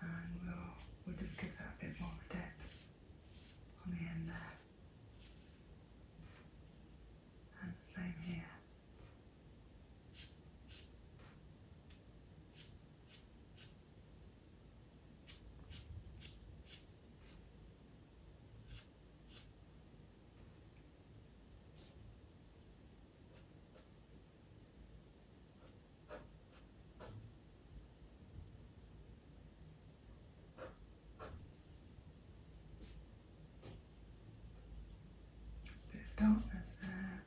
And we'll, we'll just give that a bit more depth on the end there. And the same here. They don't deserve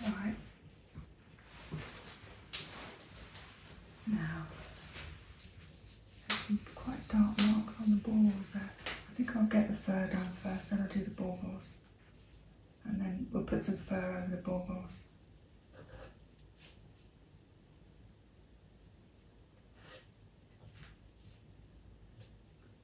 Right. Now, some quite dark marks on the balls I think I'll get the fur down first, then I'll do the baubles. And then we'll put some fur over the baubles.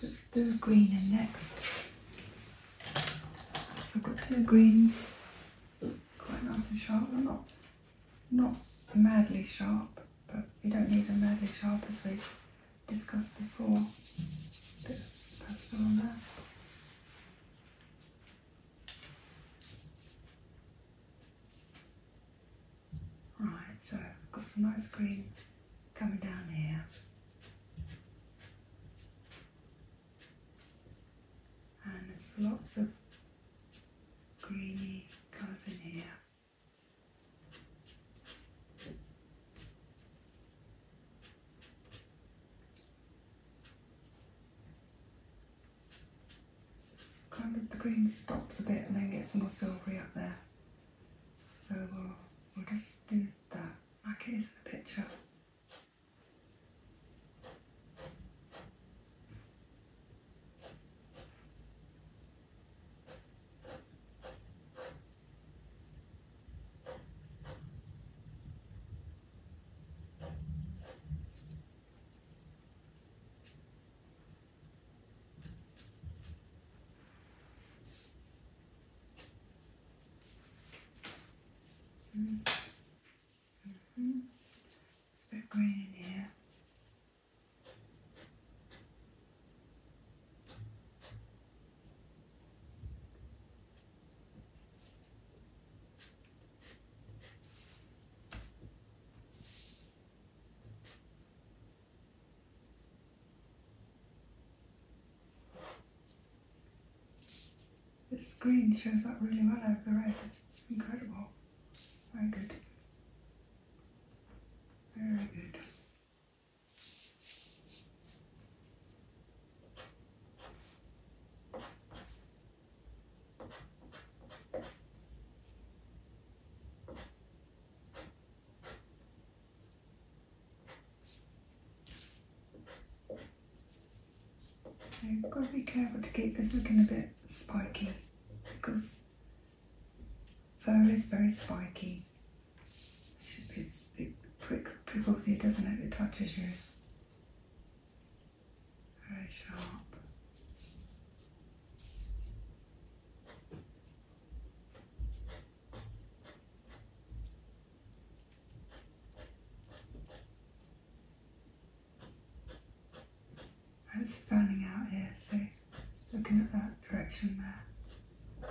Just do green in next. So I've got two greens, quite nice and sharp. Well, not, not madly sharp, but you don't need a madly sharp as we discussed before. bit of on there. Right, so I've got some ice cream coming down here. And there's lots of greeny colours in here. kind of the green stops a bit and then gets more silvery up there. So we'll, just do that. Like here's the picture. Mm -hmm. It's a bit green in here. The screen shows up really well over the red. It's incredible. Very good. Very good. You've got to be careful to keep this looking a bit spiky because fur is very spiky. It, it prick, prickles doesn't it? It touches you. Very sharp. I was fanning out here, See, looking at that direction there.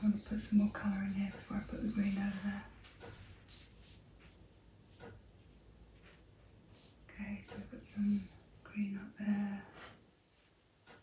I want to put some more colour in here before I put the green out of there. Okay, so I've got some green up there,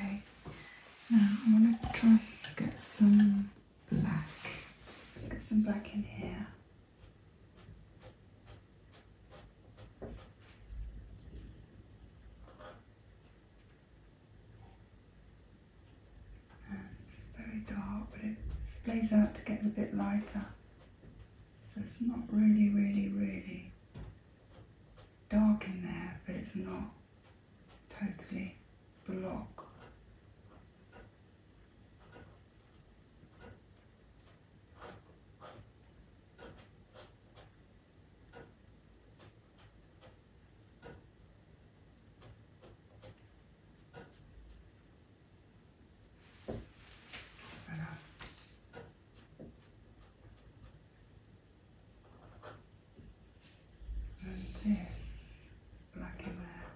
Okay, now I want to try to get some black. Let's get some black in here it's very dark, but it splays out to get a bit lighter. So it's not really, really, really dark in there, but it's not totally blocked. And this is black in there.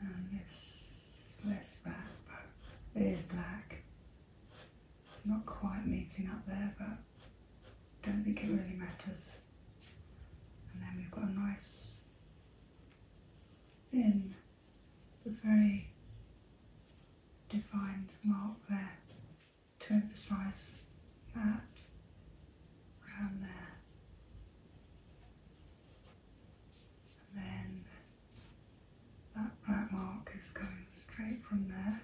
And this less black, but it is black. Not quite meeting up there, but don't think it really matters. And then we've got a nice thin but very defined mark there to emphasise that around there. And then that black mark is going straight from there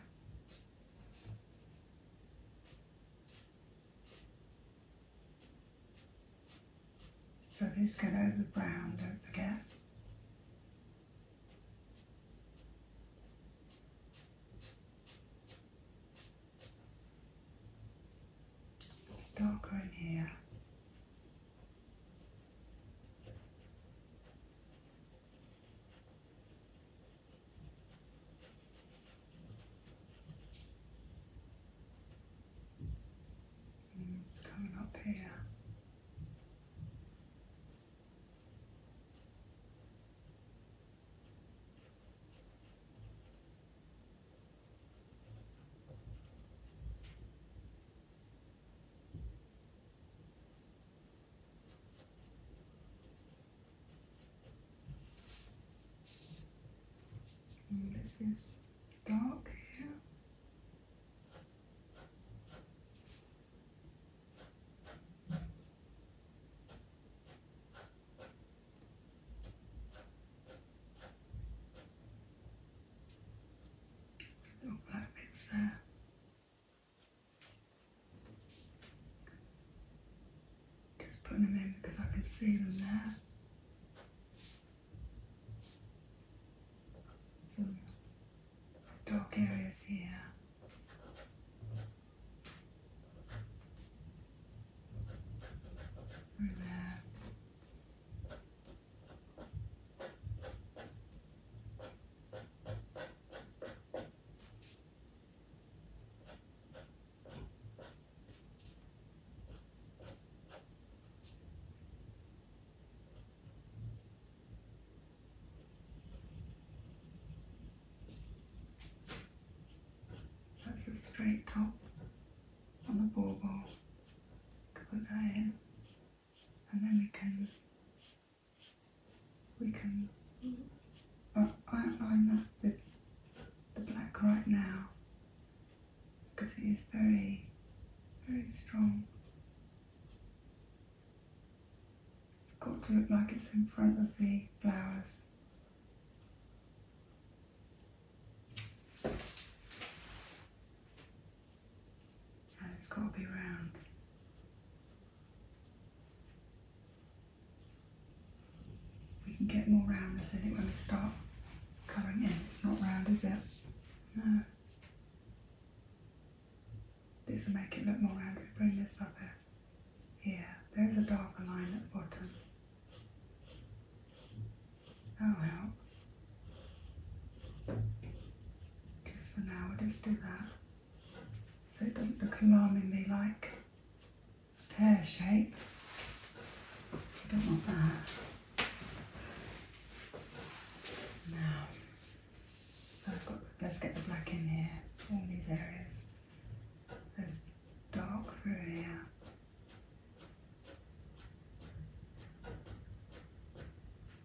so this get over brown don't forget darker in here and it's coming up here this is dark hair. There's a little black bits there. Just putting them in because I can see them there. Some dark areas here. And there. That's a straight top on the bauble to put that in and then we can we can uh, I i that with the black right now because it is very very strong. It's got to look like it's in front of the flowers it's got to be round. We can get more roundness in it when we start colouring in. It's not round, is it? No. This will make it look more round. We bring this up here. Here, there's a darker line at the bottom. that oh, help. Just for now, we'll just do that. So it doesn't look alarmingly like pear shape. I don't want that. Now, so I've got, let's get the black in here, all these areas. There's dark through here.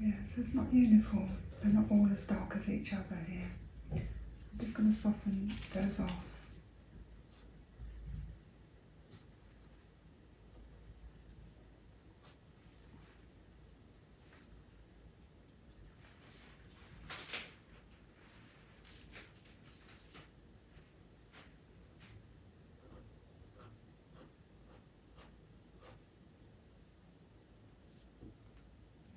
Yeah, so it's not uniform. They're not all as dark as each other here. I'm just going to soften those off.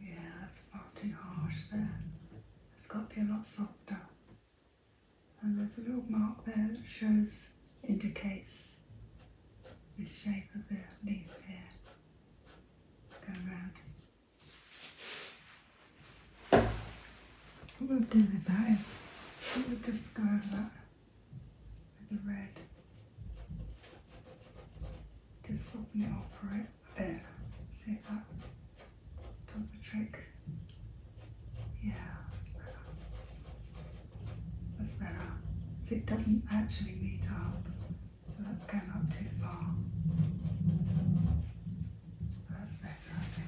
Yeah, that's far too harsh there. It's got to be a lot softer. And there's a little mark there that shows, indicates the shape of the leaf here. Go around. What we'll do with that is we'll discard that with the red. Just soften it up right there. See if that does the trick. Yeah, that's better. That's better. So it doesn't actually meet up. So that's going up too far. That's better, I think.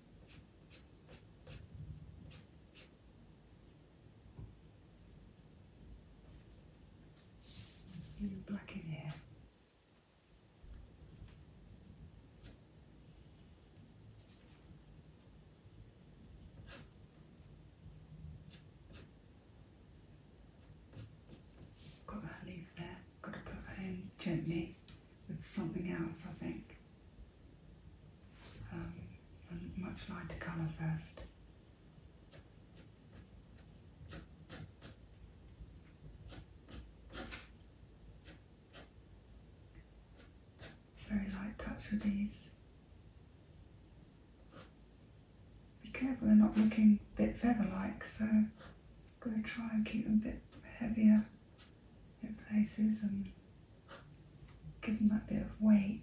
It's really black in here. Got that leaf there, got to put that in gently with something else, I think. Um, much lighter colour first. Very light touch with these. Be careful they're not looking bit feather-like, so I'm going to try and keep them a bit heavier in places and give them that bit of weight.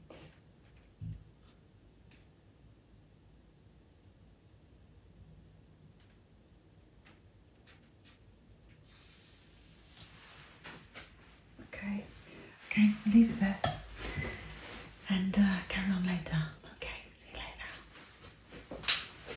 Okay, okay, leave it there and uh, carry on later. Okay, see you later.